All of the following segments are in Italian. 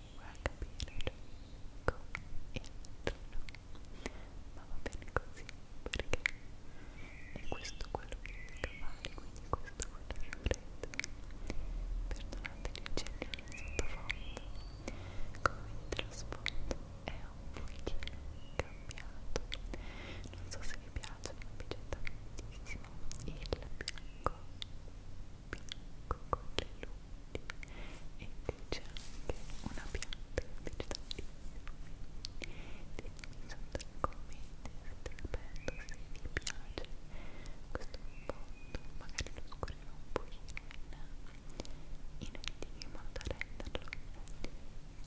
a capire lungo e ma va bene così perché è questo quello che devi fare quindi questo quello che volete perdonate il genere sottofondo come vedete lo sfondo è un pochino cambiato non so se vi piace ma mi piace tantissimo il bianco bianco con le luci frutti e c'è anche una pianta vegetabilissima ditemi sotto nei commenti se ti ripeto se vi piace questo fondo magari lo scurrirò un pochino in, in video in modo da renderlo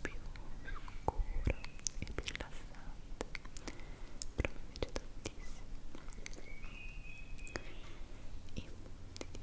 più scuro e più rilassante però mi piace tantissimo i punti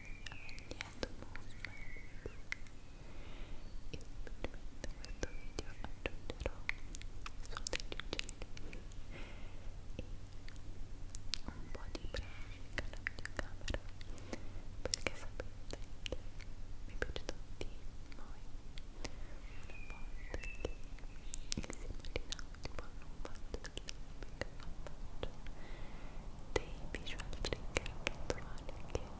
yet movements in between e un po' di pratica alla videocamera perché sapete mi piace tantissimo e il clipping non faccio dei visual trigger che trovate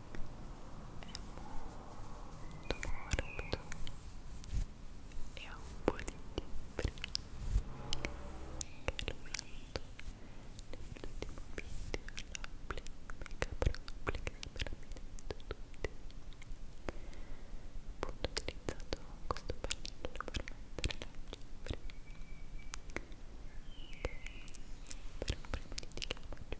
molto morbido e ha un po' di timbre che lo metto nell'ultimo video l'applica proprio che veramente tutti appunto ho utilizzato questo pennello per mettere la cifra che per un primo di chiama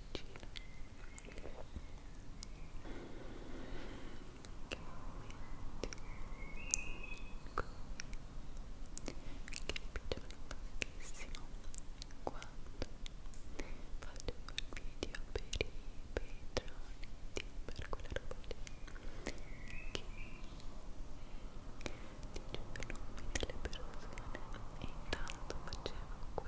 vicino che momenti qui che mi piacciono tantissimo quando faccio quel video per i patroni di per quella roba lì che ti giuro nomi delle persone e intanto facevo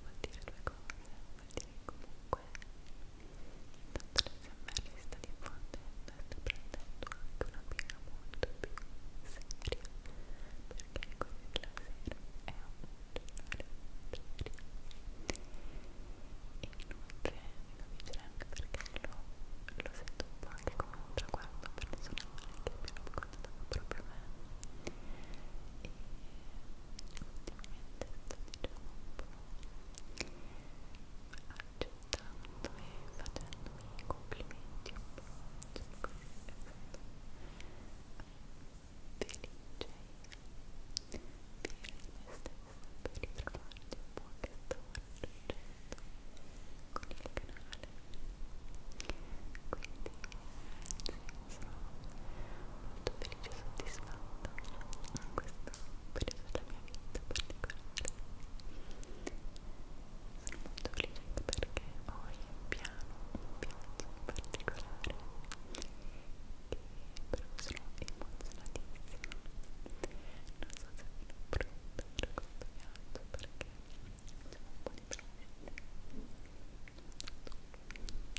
vuol dire due cose, vuol dire che comunque intanto l'SMR si sta diffondendo e sta prendendo anche una piega molto più seria perché quello della sera è un giornale molto serio e inoltre mi convincerà anche perché lo, lo sento un po' anche come un traguardo personale che abbiamo ricordava proprio me e ultimamente sto diciamo un po' accettando e facendomi i complimenti un po' cerco di felice di me stessa per ritrovarti un po' che sto raggiungendo con il canale quindi sì, molto felice e soddisfatta in questo periodo della mia vita in piano un viaggio particolare che però sono emozionatissima non so se sono pronta per questo viaggio perché sono un po' di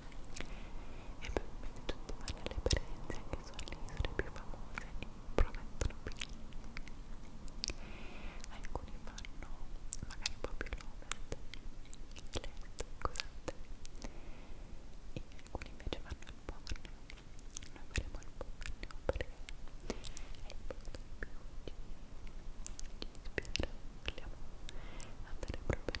e probabilmente tutti vanno alle presenze anche sulle isole più famose e promettono benissimo alcuni vanno magari un po' più l'ovest l'est, scusate e alcuni invece vanno al Borneo noi faremo il Borneo perché è il posto più ci, ci ispira vogliamo andare proprio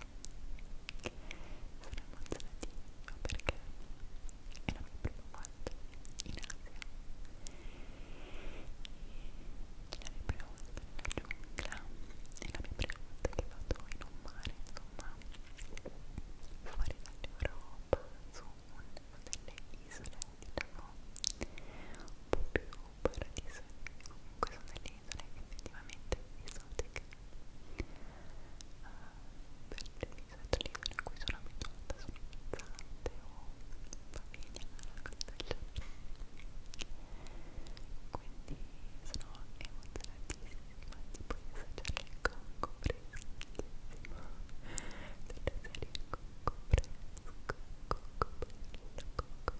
emozionatissima perché è la mia prima volta in Asia è la mia prima volta nella giungla è la mia prima volta che vado in un mare insomma fuori dall'Europa su un, delle isole diciamo un po' più paradisaiche comunque sono delle isole effettivamente esotiche per le misetole in cui sono abituata sono pizzante o va bene alla cosa del genere quindi sono emozionatissima di poter assaggiare il cocco freschissimo della serie cocco fresco cocco bello cocco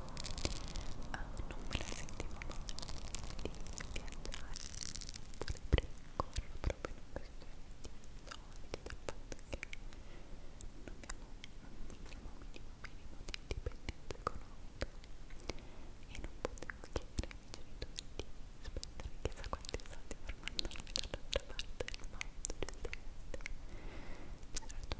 uh, non me la sentivo male di viaggiare vorrei corro proprio in questione di soldi del fatto che non abbiamo un minimo minimo minimo di indipendenza economica e non potevo chiedere ai miei genitori di spendere chissà quanti soldi per mandarmi dall'altra parte del mondo giustamente c'era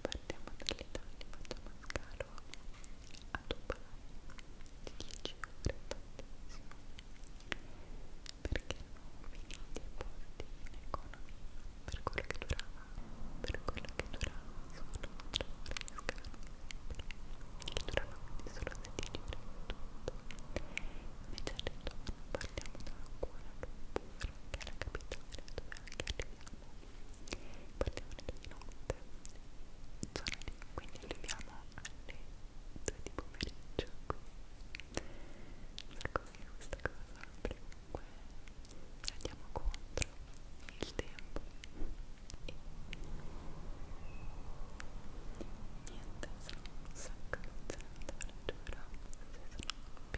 partiamo dall'Italia, facciamo un scalo a Dubai di 10 ore, tantissimo perché erano finiti i porti in economia per quello che durava per quello che durava solo 3 ore di scalo che durava quindi solo 16 ore tutto invece a Letona partiamo da Kuala Lumpur solo che alla capitale dove anche arriviamo partiamo di notte sono lì, quindi arriviamo alle 2 di pomeriggio qui ecco che questa cosa perché comunque andiamo contro il tempo e niente sono un sacco di zone dove giuro se sono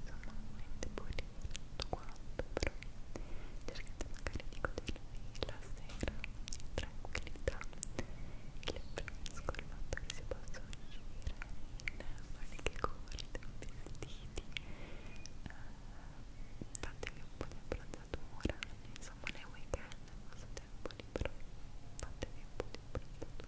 insomma veramente pulire tutto quanto però cercate magari di godervi la sera in tranquillità e le fresco il fatto che si possa uscire in maniche corte o vestiti uh, fatevi un po' di abbronzatura insomma nei weekend nel vostro tempo libero fatevi un po' di abbronzatura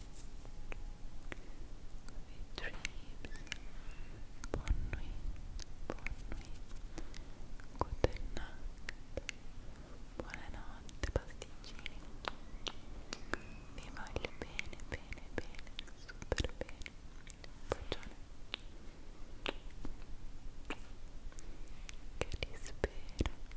Good dreams. Bonne nuit. Bonne nuit. Good night. Buonanotte voglio bene, bene, bene. Super bene. Bacione. Che ti spero.